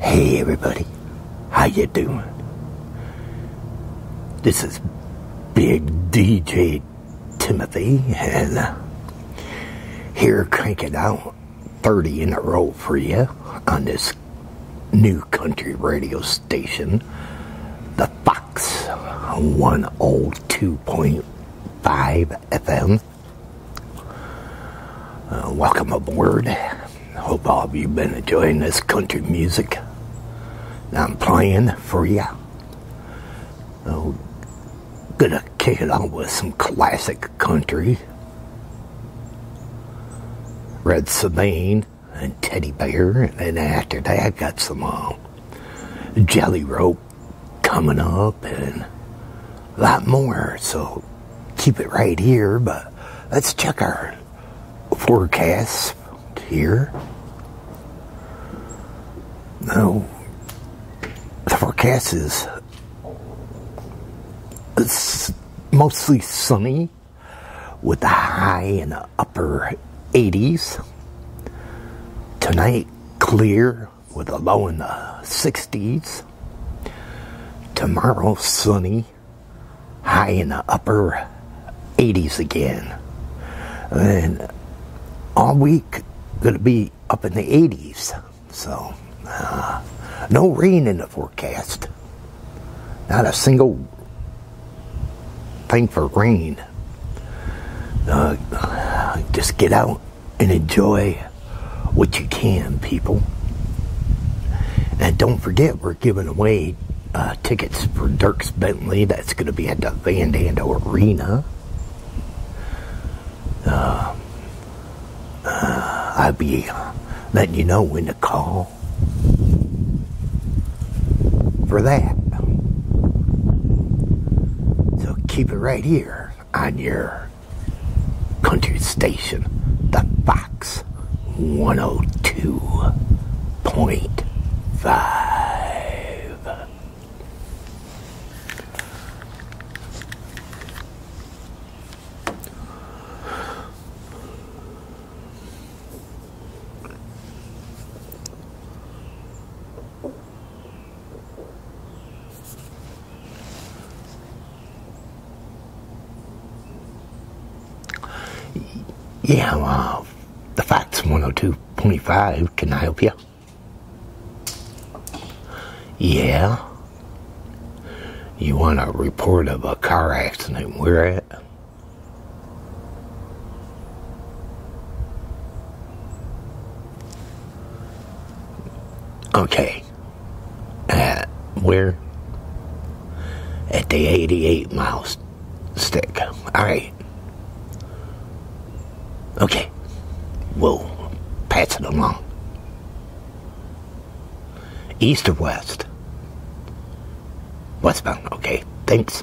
Hey everybody, how you doing? This is Big DJ Timothy and uh, here cranking out 30 in a row for you on this new country radio station, the Fox 102.5 FM. Uh, welcome aboard. Hope all of you been enjoying this country music I'm playing for you. Oh, so, gonna kick it on with some classic country. Red Sabine and Teddy Bear, and then after that, I got some uh, Jelly Rope coming up and a lot more. So keep it right here, but let's check our forecast here. Now, the forecast is mostly sunny with a high in the upper 80s. Tonight, clear with a low in the 60s. Tomorrow, sunny, high in the upper 80s again. And all week, going to be up in the 80s. So, uh, no rain in the forecast. Not a single thing for rain just get out and enjoy what you can, people. And don't forget, we're giving away uh, tickets for Dirks Bentley. That's going to be at the Van Dando Arena. Uh, uh, I'll be letting you know when to call for that. So keep it right here on your country station, the Fox 102.5. Yeah, well, the Fox 102.5, can I help you? Yeah. You want a report of a car accident? Where at? Okay. Uh, we're at the 88 mile stick. All right. Okay. We'll pass it along. East or west? Westbound. Okay. Thanks.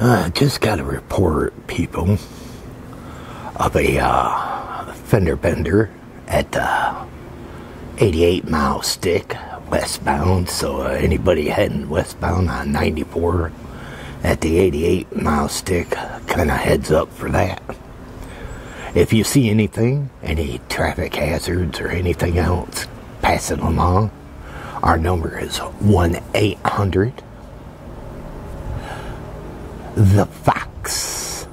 Uh, just got a report, people, of a uh, fender bender at uh, 88 mile stick westbound. So, uh, anybody heading westbound on 94 at the 88 mile stick, kind of heads up for that. If you see anything, any traffic hazards or anything else, passing along, our number is 1 800 The Fox.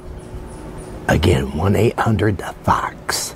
Again, 1 800 The Fox.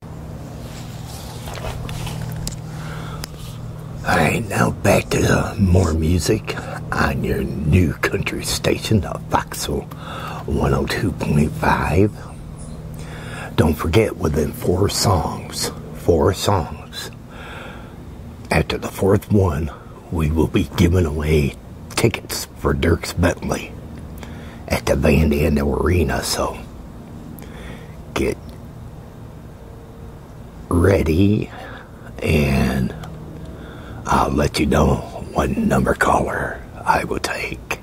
Alright, now back to uh, more music on your new country station, the uh, Foxhole 102.5. Don't forget, within four songs, four songs, after the fourth one, we will be giving away tickets for Dirks Bentley at the Van Arena, so get ready and I'll let you know what number caller I will take.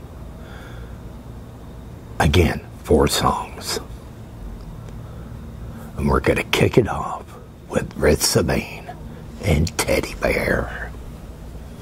Again, four songs. And we're going to kick it off with Red Sabine and Teddy Bear.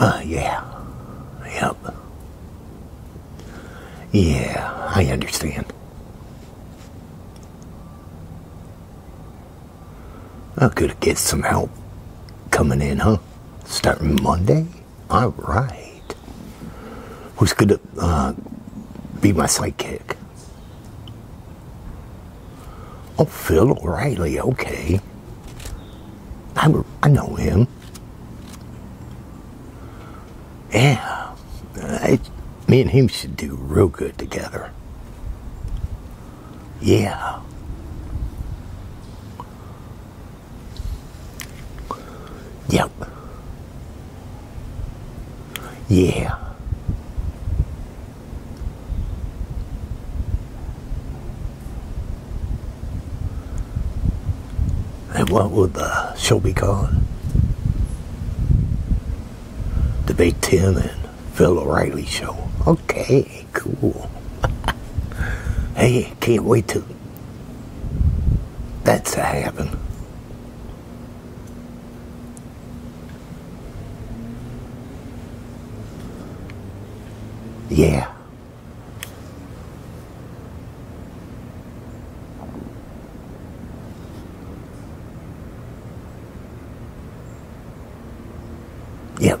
Uh, yeah. Yep. Yeah, I understand. I could get some help coming in, huh? Starting Monday? All right. Who's going to uh, be my sidekick? Oh, Phil O'Reilly. Okay. I, I know him. Yeah. me and him should do real good together. Yeah. Yep. Yeah. And what would the show be called? The Big Ten and Phil O'Reilly Show. Okay, cool. hey, can't wait to that's a happen. Yeah. Yep.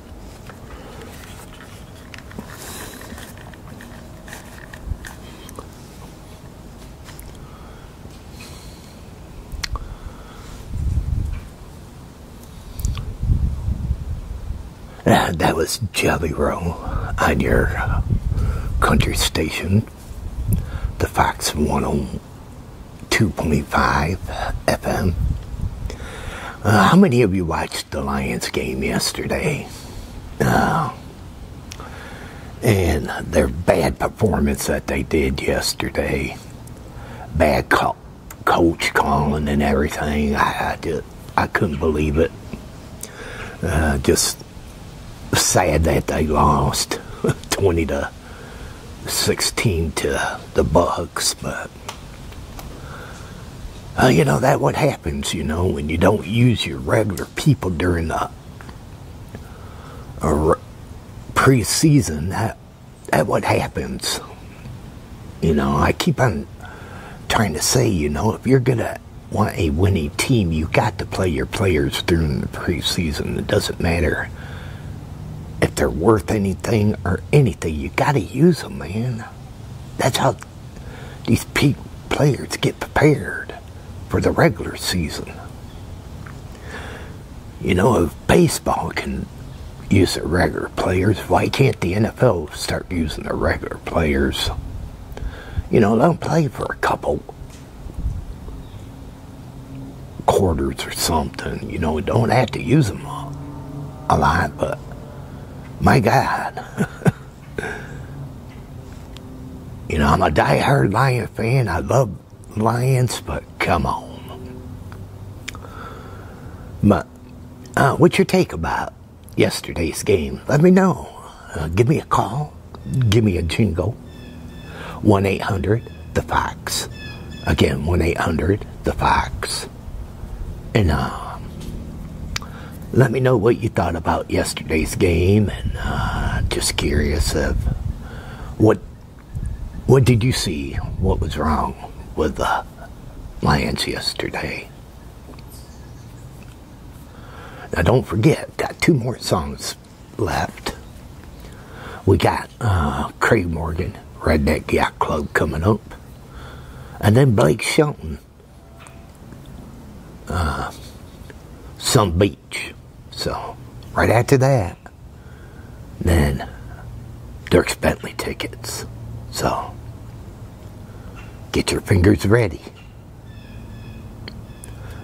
that was Jelly Roll on your country station, the Fox 101. 2.5 FM. Uh, how many of you watched the Lions game yesterday? Uh, and their bad performance that they did yesterday, bad coach calling and everything. I, just, I couldn't believe it. Uh, just sad that they lost 20 to 16 to the Bucks, but uh, you know, that what happens, you know, when you don't use your regular people during the uh, preseason. That, that what happens. You know, I keep on trying to say, you know, if you're going to want a winning team, you got to play your players during the preseason. It doesn't matter if they're worth anything or anything, you got to use them, man. That's how these peak players get prepared for the regular season. You know, if baseball can use the regular players, why can't the NFL start using the regular players? You know, they'll play for a couple quarters or something. You know, don't have to use them all a lot, but my God. you know, I'm a die-hard Lion fan. I love Lions, but come on. But uh, what's your take about yesterday's game? Let me know. Uh, give me a call. Give me a jingle. 1 800 the facts. Again, when they the facts. And uh, let me know what you thought about yesterday's game. And uh, just curious of what what did you see? What was wrong with the Lions yesterday? Now, don't forget, got two more songs left. We got uh, Craig Morgan, Redneck Yacht Club, coming up. And then Blake Shelton, uh, some Beach. So, right after that, then Dirk's Bentley tickets. So, get your fingers ready.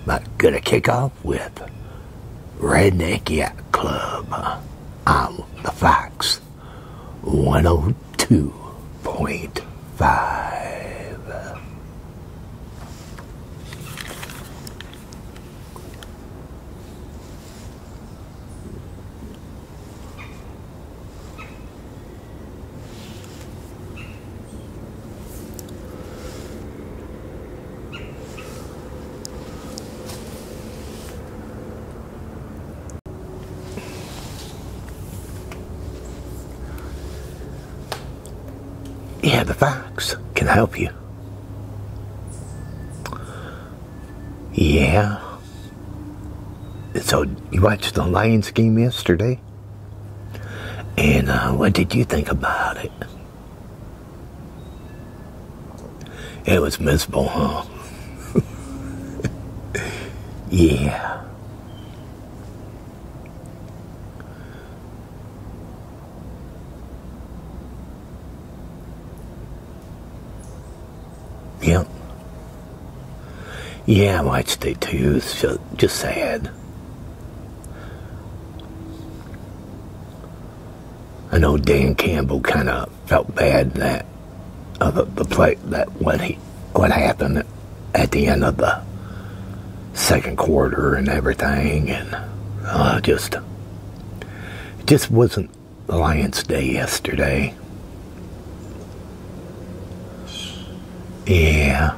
But gonna kick off with Redneck Yacht Club on the Fox 102.5. Yeah, the facts can help you. Yeah. So you watched the Lions game yesterday? And uh, what did you think about it? It was miserable, huh? yeah. Yep. Yeah, I watched stay too. It's just, just sad. I know Dan Campbell kind of felt bad that uh, the, play that what he what happened at the end of the second quarter and everything, and uh, just just wasn't Lions Day yesterday. Yeah.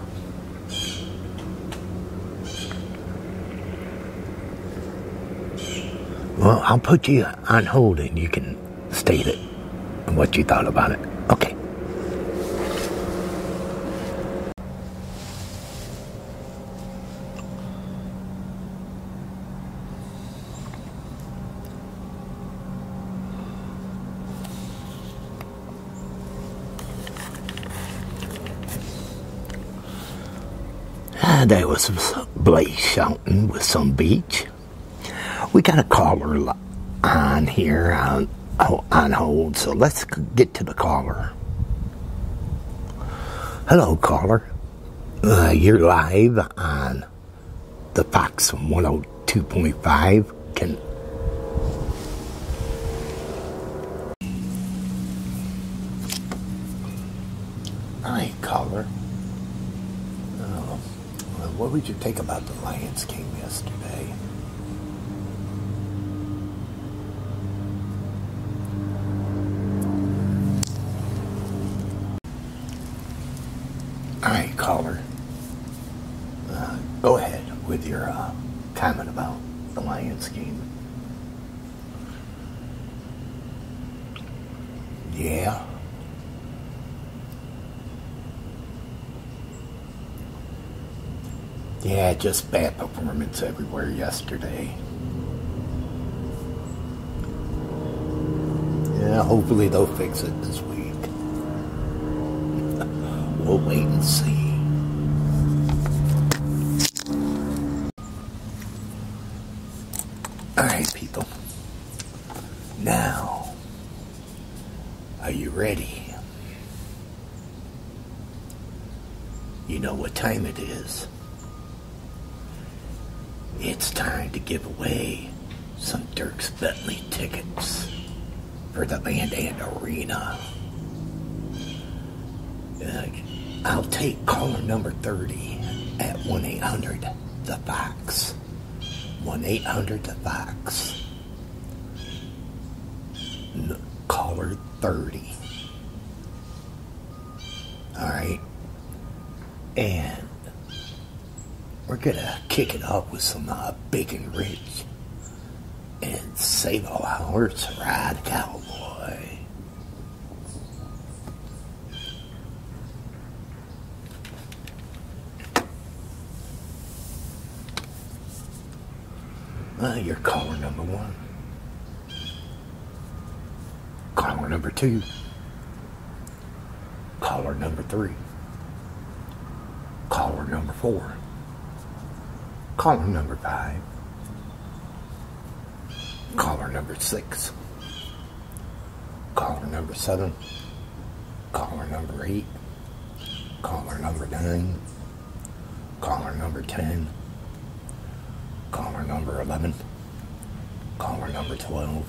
Well, I'll put you on hold and you can state it and what you thought about it. Okay. Uh, there was some Blaze shouting with some beach. We got a caller on here on, oh, on hold, so let's get to the caller. Hello, caller. Uh, you're live on the Fox 102.5. Can I collar. Oh, what would you think about the Lions game yesterday? All right, caller. Uh, go ahead with your uh, comment about the Lions game. Yeah. Yeah, just bad performance everywhere yesterday. Yeah, hopefully they'll fix it this week. we'll wait and see. Alright, people. Now, are you ready? You know what time it is. It's time to give away some Dirks Bentley tickets for the Land and Arena. I'll take caller number 30 at 1 800 The Fox. 1 800 The Fox. caller 30. Alright? And we're gonna kick it up with some uh, bacon rich and save all hours ride cowboy. Uh, you caller number one. Caller number two. Caller number three. Caller number four. Caller number five. Caller number six. Caller number seven. Caller number eight. Caller number nine. Caller number ten. Caller number eleven. Caller number twelve.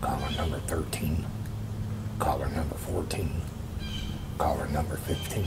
Caller number thirteen. Caller number fourteen. Caller number fifteen.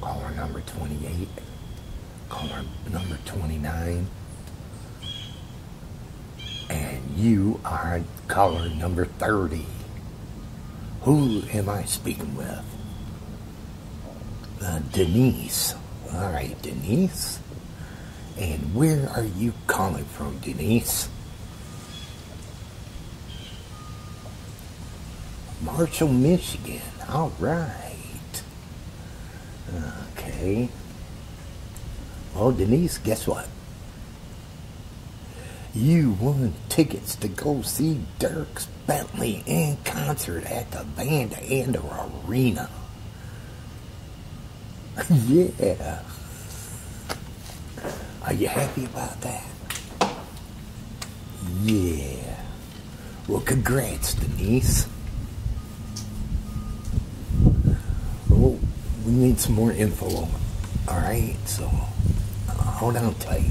caller number 28, caller number 29, and you are caller number 30. Who am I speaking with? Uh, Denise. All right, Denise. And where are you calling from, Denise? Marshall, Michigan. All right. Okay. Well, Denise, guess what? You won tickets to go see Dirks Bentley in concert at the Van Arena. yeah. Are you happy about that? Yeah. Well, congrats, Denise. Well, oh, we need some more info. All right, so hold on tight.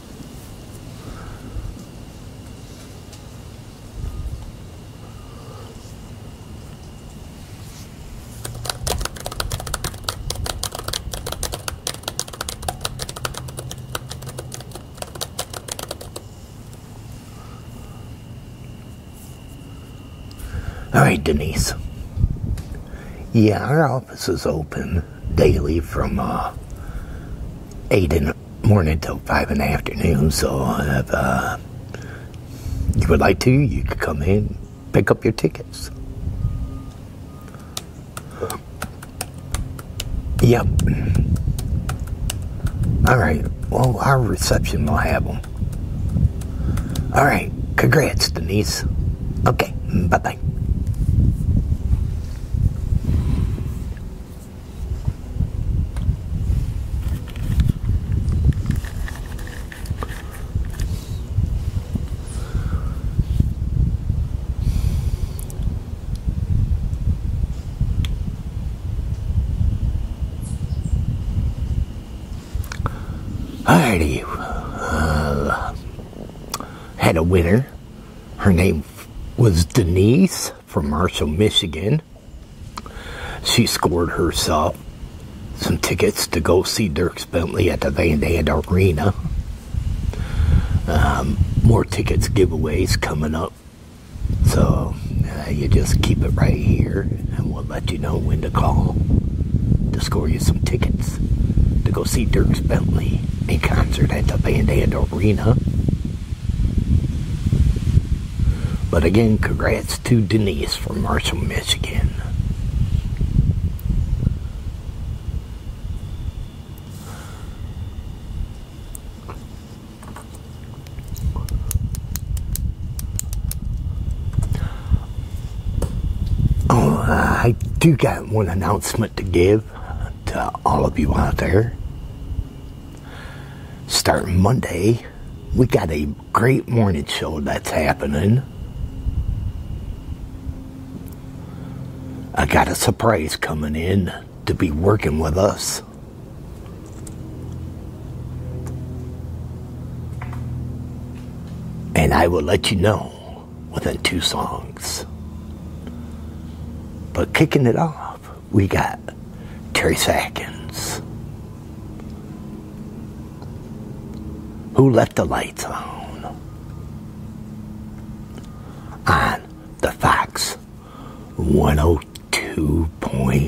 All right, Denise. Yeah, our office is open daily from uh, 8 in morning till five in the afternoon. So if uh, you would like to, you could come in, pick up your tickets. Yep. All right. Well, our reception will have them. All right. Congrats, Denise. Okay. Bye bye. Alrighty, uh, had a winner. Her name was Denise from Marshall, Michigan. She scored herself some tickets to go see Dirks Bentley at the Van Dam Arena. Um, more tickets giveaways coming up. So uh, you just keep it right here and we'll let you know when to call to score you some tickets to go see Dirks Bentley in concert at the Van Dam Arena. But again, congrats to Denise from Marshall, Michigan. Oh, I do got one announcement to give to uh, all of you out there. Starting Monday, we got a great morning show that's happening. I got a surprise coming in to be working with us. And I will let you know within two songs. But kicking it off, we got Terry Sackins, who left the lights on on the Fox 102.5.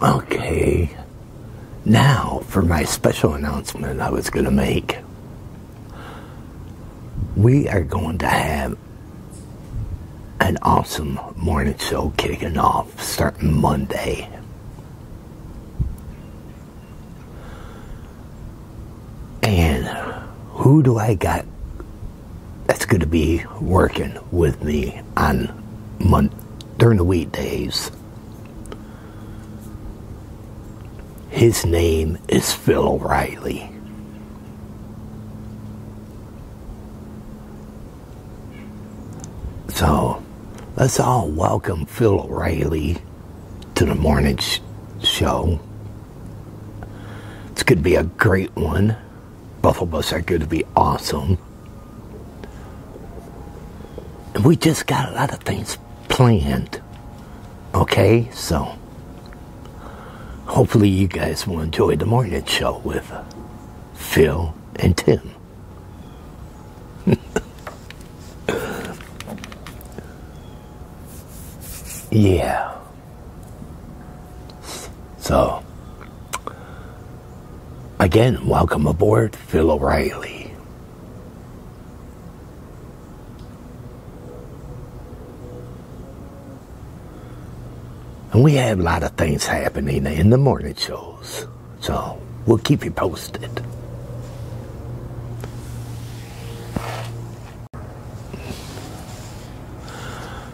Okay, now for my special announcement I was going to make. We are going to have an awesome morning show kicking off starting Monday. And who do I got that's going to be working with me on mon- during the weekdays? His name is Phil O'Reilly. So let's all welcome Phil O'Reilly to the morning show. It's going to be a great one. Both of us are going to be awesome. And we just got a lot of things planned. Okay, so hopefully you guys will enjoy the morning show with Phil, and Tim. yeah. So, again, welcome aboard, Phil O'Reilly. And we have a lot of things happening in the morning shows. So we'll keep you posted.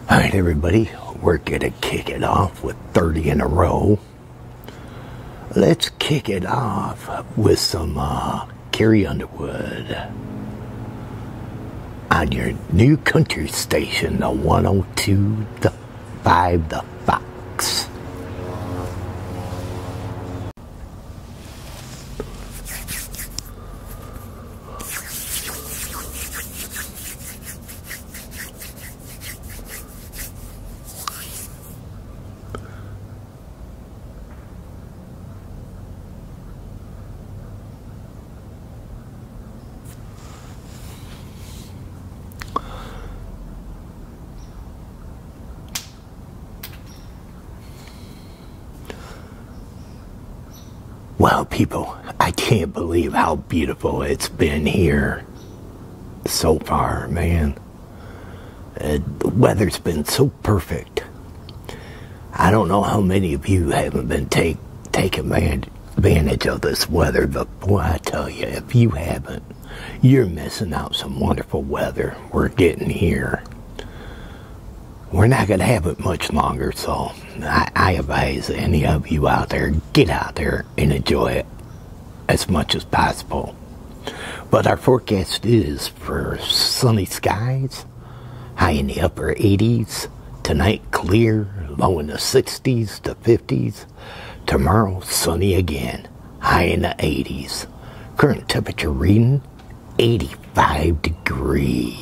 All right, everybody, we're going to kick it off with 30 in a row. Let's kick it off with some uh, Carrie Underwood on your new country station, the 102, the 5, the Fox. Wow, people, I can't believe how beautiful it's been here so far, man. Uh, the weather's been so perfect. I don't know how many of you haven't been take, taken advantage advantage of this weather, but boy, I tell you, if you haven't, you're missing out some wonderful weather we're getting here. We're not going to have it much longer, so I, I advise any of you out there, get out there and enjoy it as much as possible. But our forecast is for sunny skies, high in the upper 80s, Tonight clear, low in the 60s to 50s. Tomorrow sunny again, high in the 80s. Current temperature reading 85 degrees.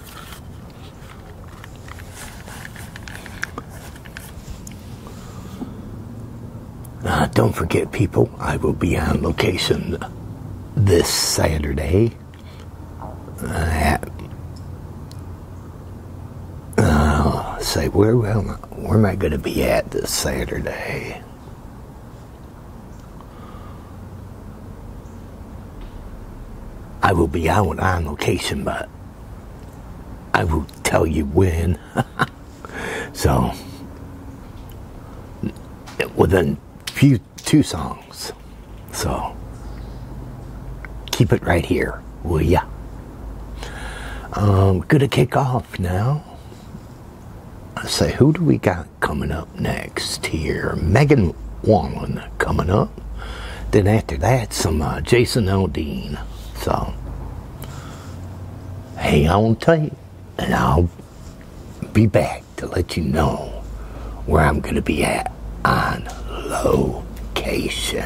Uh, don't forget, people, I will be on location this Saturday at. Uh, say, where am I, where am I going to be at this Saturday? I will be out on location, but I will tell you when. so, within few two songs. So, keep it right here, will ya? Um, gonna kick off now. I say, who do we got coming up next here. Megan Wallen coming up. Then after that, some uh, Jason Aldean. So, hang on tight, and I'll be back to let you know where I'm going to be at on location.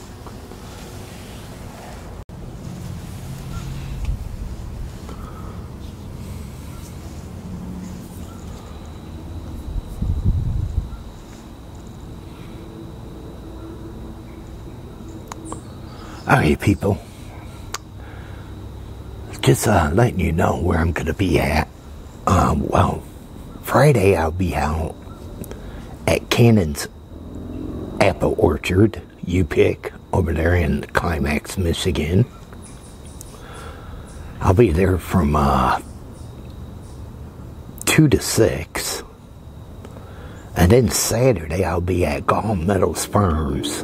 Okay, people. Just uh, letting you know where I'm going to be at. Uh, well, Friday I'll be out at Cannon's Apple Orchard you pick over there in Climax, Michigan. I'll be there from uh, 2 to 6. And then Saturday, I'll be at Gold Medal Farms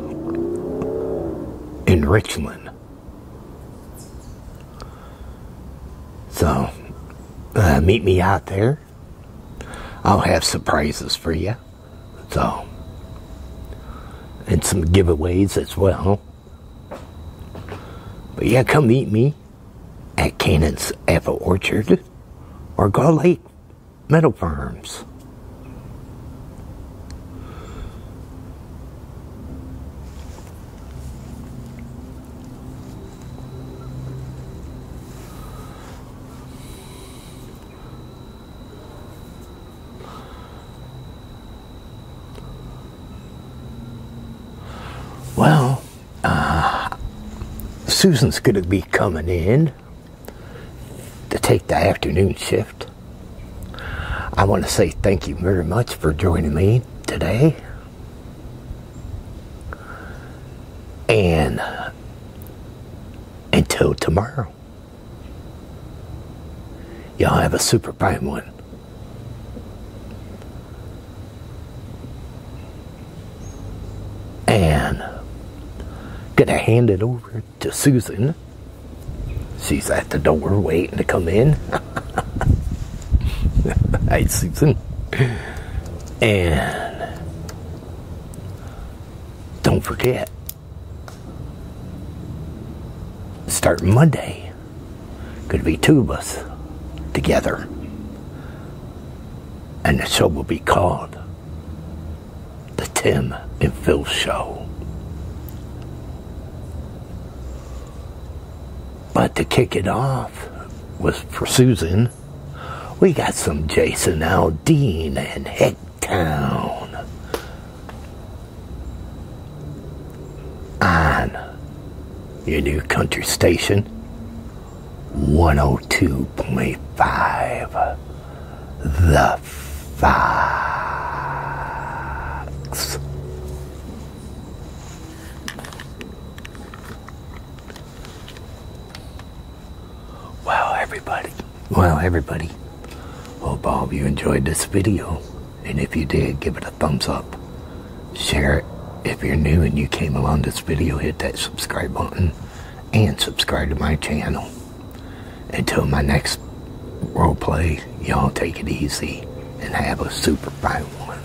in Richland. So, uh, meet me out there. I'll have surprises for you. So, and some giveaways as well. But yeah, come meet me at Canaan's Apple Orchard or Gull Lake Meadow Farms. Well, uh, Susan's going to be coming in to take the afternoon shift. I want to say thank you very much for joining me today. And until tomorrow. Y'all have a super prime one. And gonna hand it over to Susan. She's at the door waiting to come in. hey, Susan. And don't forget, starting Monday, could be two of us together. And the show will be called The Tim and Phil Show. But to kick it off was for Susan. We got some Jason Aldean and Hicktown on your new country station 102.5 The Fox. Wow, everybody. Wow, everybody. Well, Bob, you enjoyed this video. And if you did, give it a thumbs up. Share it. If you're new and you came along this video, hit that subscribe button and subscribe to my channel. Until my next role play, y'all take it easy and have a super fun one.